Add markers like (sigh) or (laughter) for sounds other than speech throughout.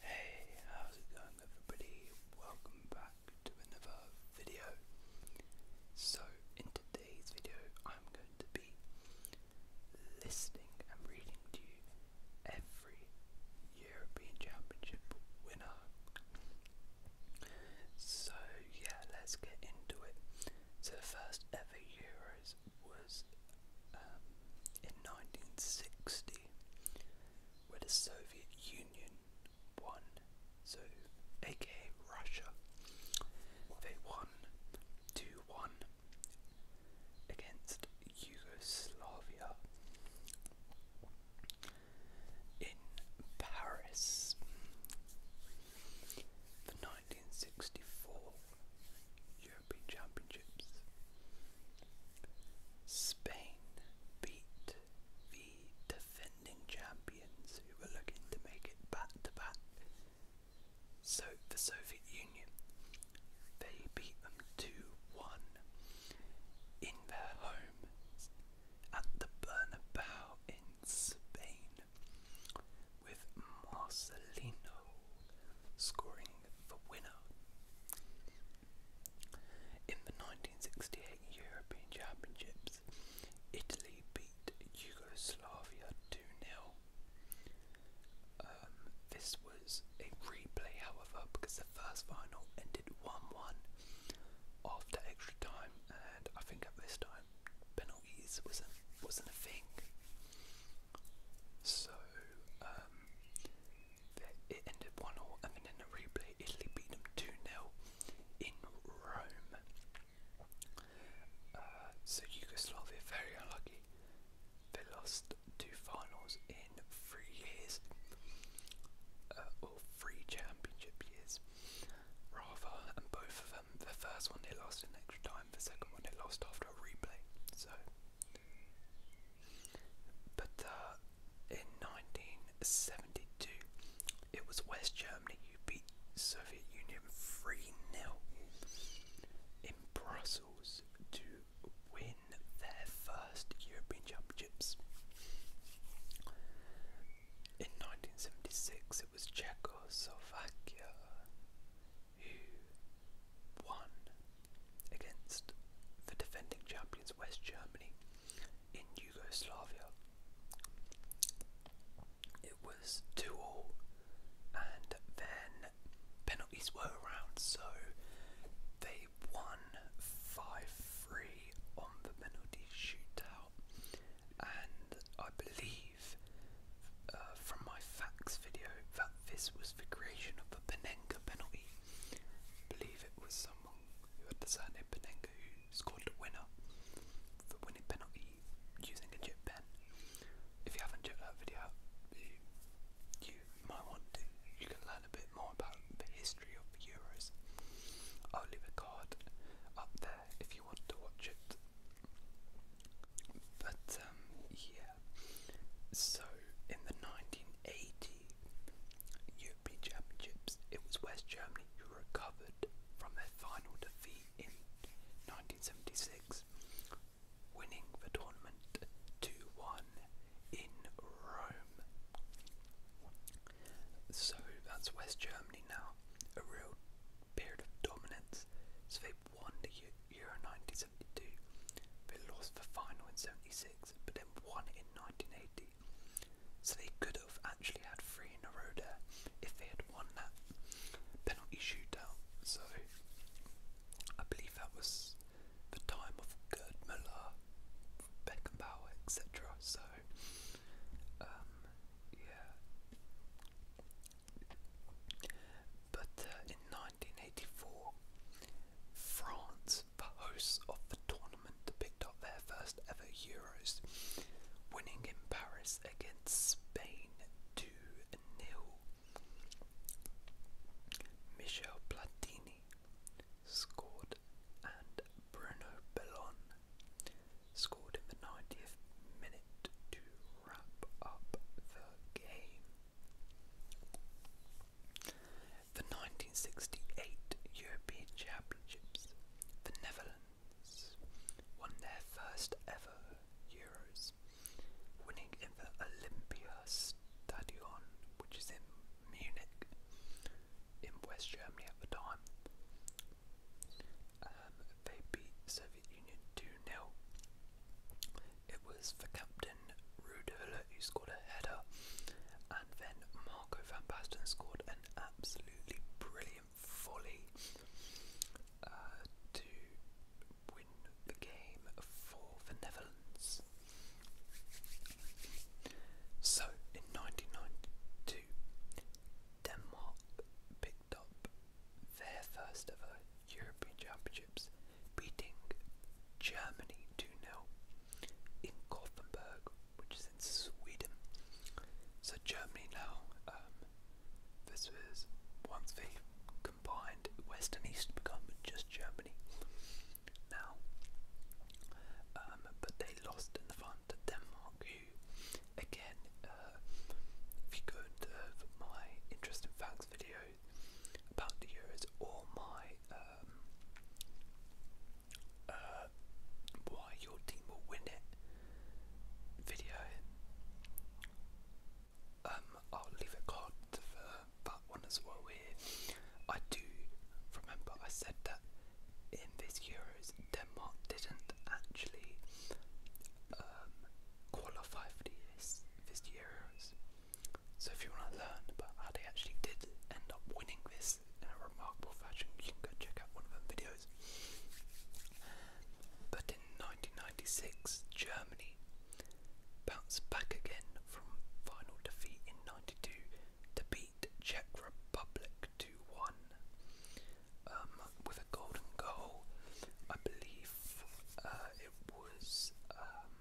Hey, how's it going everybody? Welcome back to another video. So in today's video I'm going to be listening and reading to you every European Championship winner. So yeah, let's get into it. So the first ever Euros was um, in 1960 where the Soviet Union won, so aka Russia, they won 2 1 against Yugoslavia in Paris. The 1964 European Championships. Spain beat the defending champions who were looking to make it back to back. So the Soviet Union, they beat them 2 1 in their home at the Bernabeu in Spain with Marcelino scoring the winner. In the 1968 European Championships, Italy beat Yugoslavia 2 0. Um, this was a replay, however, because the first final ended 1 1 after extra time, and I think at this time penalties wasn't wasn't a thing. So, um, it ended 1 0, and then in the replay, Italy beat them 2 0 in Rome. Uh, so, Yugoslavia, very unlucky. They lost two finals in three years, uh, or three championship years, rather, and both of them, the first one they lost in extra time, the second one they lost after a replay. So, but uh, in 1972, it was West Germany who beat Soviet Union 3 0 in Brussels to win their first European Championships. In 1976, it was Czechoslovakia who won against the defending champions West Germany in Yugoslavia. It was 2 all, and then penalties were around, so they won 5 3 on the penalty shootout. And I believe uh, from my facts video that this was the creation of the Penenga penalty. I believe it was someone who had the surname Penenga who scored the winner, the winning penalty using a chip pen. If you haven't checked that video you, might want to. You can learn a bit more about the history of the Euros. I'll leave a card up there if you want to watch it. But um, yeah. So in the 1980 European Championships, it was West Germany who recovered from their final defeat in 1976, winning the tournament 2 1 in Rome. So that's West Germany now, a real period of dominance. Pope won the Euro 1972, but lost the final in 76, but then won in 1980. So they could have actually had three in a row there if they had won that penalty shootout. So I believe that was the time of Gerd Müller, Beckenbauer, etc. So um, yeah, but uh, in 1984, France, hosts of the tournament, picked up their first ever Euros, winning in Paris against Spain 2 0. Michel Platini scored and Bruno Bellon scored in the 90th minute to wrap up the game. The 1968 European Championships, the Netherlands won their first ever Euros, winning in the Olympiastadion, which is in Munich, in West Germany at the time. Um, they beat Soviet Union 2 0. It was for captain Ruud Rudhula who scored a header, and then Marco van Basten scored an absolutely brilliant volley uh, to win the game for the Netherlands. So in 1992, Denmark picked their first ever European Championships, beating Germany to 0 in Gothenburg, which is in Sweden. So, Germany now, um, this was once the combined West and East, become just Germany now. Um, but they lost in the final to Denmark, review. Again, uh, if you go and uh, my interesting facts video about the Euros or my um, uh, why your team will win it video, um, I'll leave a card for that one as well. Here, I do remember I said that in this Euros, Denmark didn't actually um, qualify for these this Euros. So if you want to learn about how they actually did end up winning this in a remarkable fashion, you can go check out one of them videos. But in 1996, Germany bounced back again from final defeat in 92 to beat Czech Republic 2-1. Um, with a golden goal. I believe uh, it was um,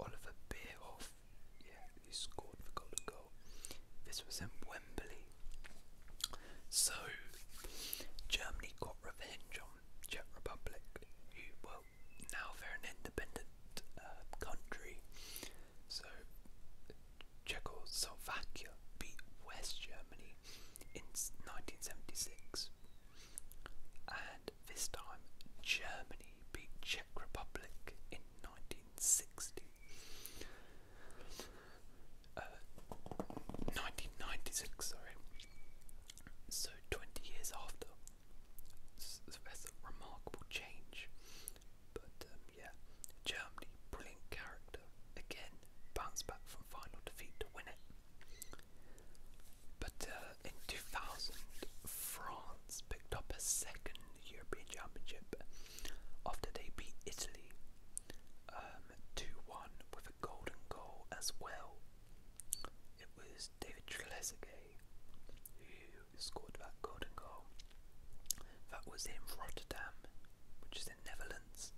Oliver Bierhoff, yeah, who scored the golden goal. This was in Wembley. So Germany got revenge on Czech Republic, well now they're an independent uh, country. So Czechoslovakia beat West Germany in 1976, and this time Germany beat Czech Republic in 1960. 1996, uh, sorry. So 20 years after, so a remarkable change. But um, yeah. Germany, brilliant character. Again, bounce back from final defeat to win it. But uh, in 2000, France picked up a second European Championship after they beat Italy 2-1 um, with a golden goal as well. It was David Trezeguet who scored that golden goal. That was in Rotterdam, which is Netherlands.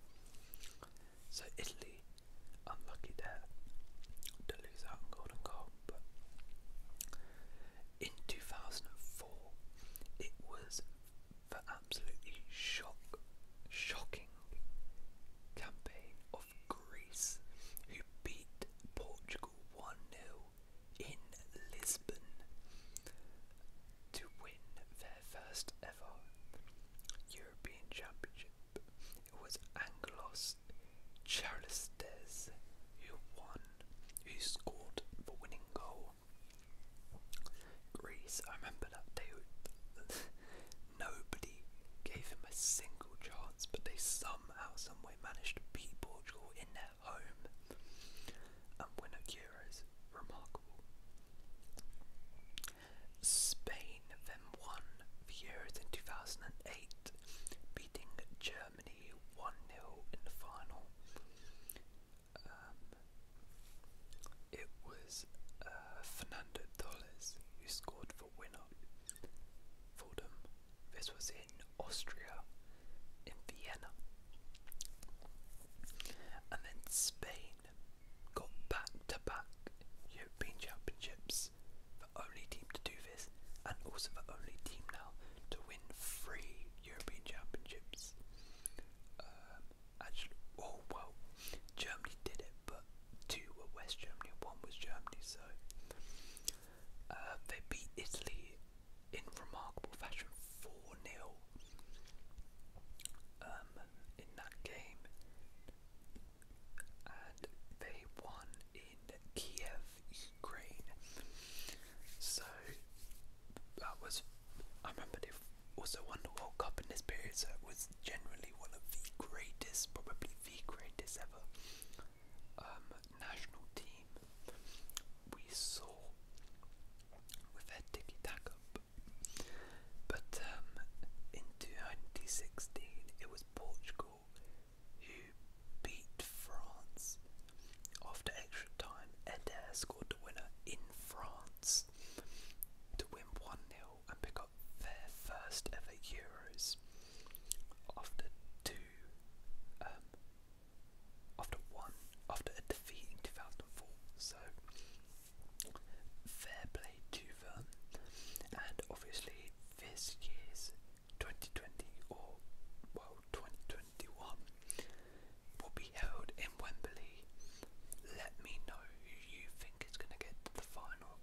So Italy, unlucky there to lose out on golden goal. But in 2004, it was the absolutely shock, shocking campaign of Greece, who beat Portugal 1 nil in Lisbon to win their first ever European Championship. It was Angelos Charistes who won, who scored the winning goal. Greece, I remember that day. (laughs) Nobody gave him a single chance, but they somehow, someway managed to beat Portugal in their home and win at Euros. Remarkable. Spain then won the Euros in 2008, beating Germany 1 0 in the final. Um, it was uh, Fernando Torres who scored for winner for them. This was in Austria in Vienna. And then Spain got back to back European Championships, the only team to do this, and also the only team now to win three European Championships. Um, actually, oh well, Germany did it, but two were West Germany, one was Germany, so uh, they beat Italy in remarkable fashion 4 0 um, in that game, and they won in Kiev, Ukraine. So that was, I remember they also won the World Cup in this period, so it was generally one of the greatest, probably the greatest ever um, national team we saw with her ticky tack But um, in 2016, it was Portugal who beat France after extra time. and they scored the winner in France to win 1 0 and pick up their first ever Euros after two um, after one after a defeat in 2004 so fair play to them and obviously this year's 2020 or well 2021 will be held in Wembley let me know who you think is going to get the final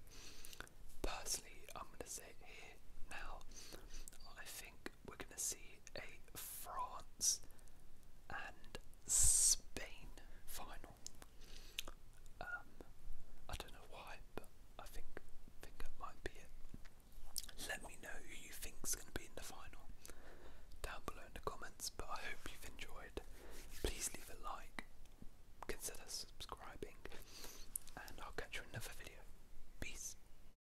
personally I'm going to say here now I think we're going to see a France and Spain final. Um, I don't know why, but I think think that might be it. Let me know who you think's going to be in the final down below in the comments. But I hope you've enjoyed. Please leave a like, consider subscribing, and I'll catch you in another video. Peace.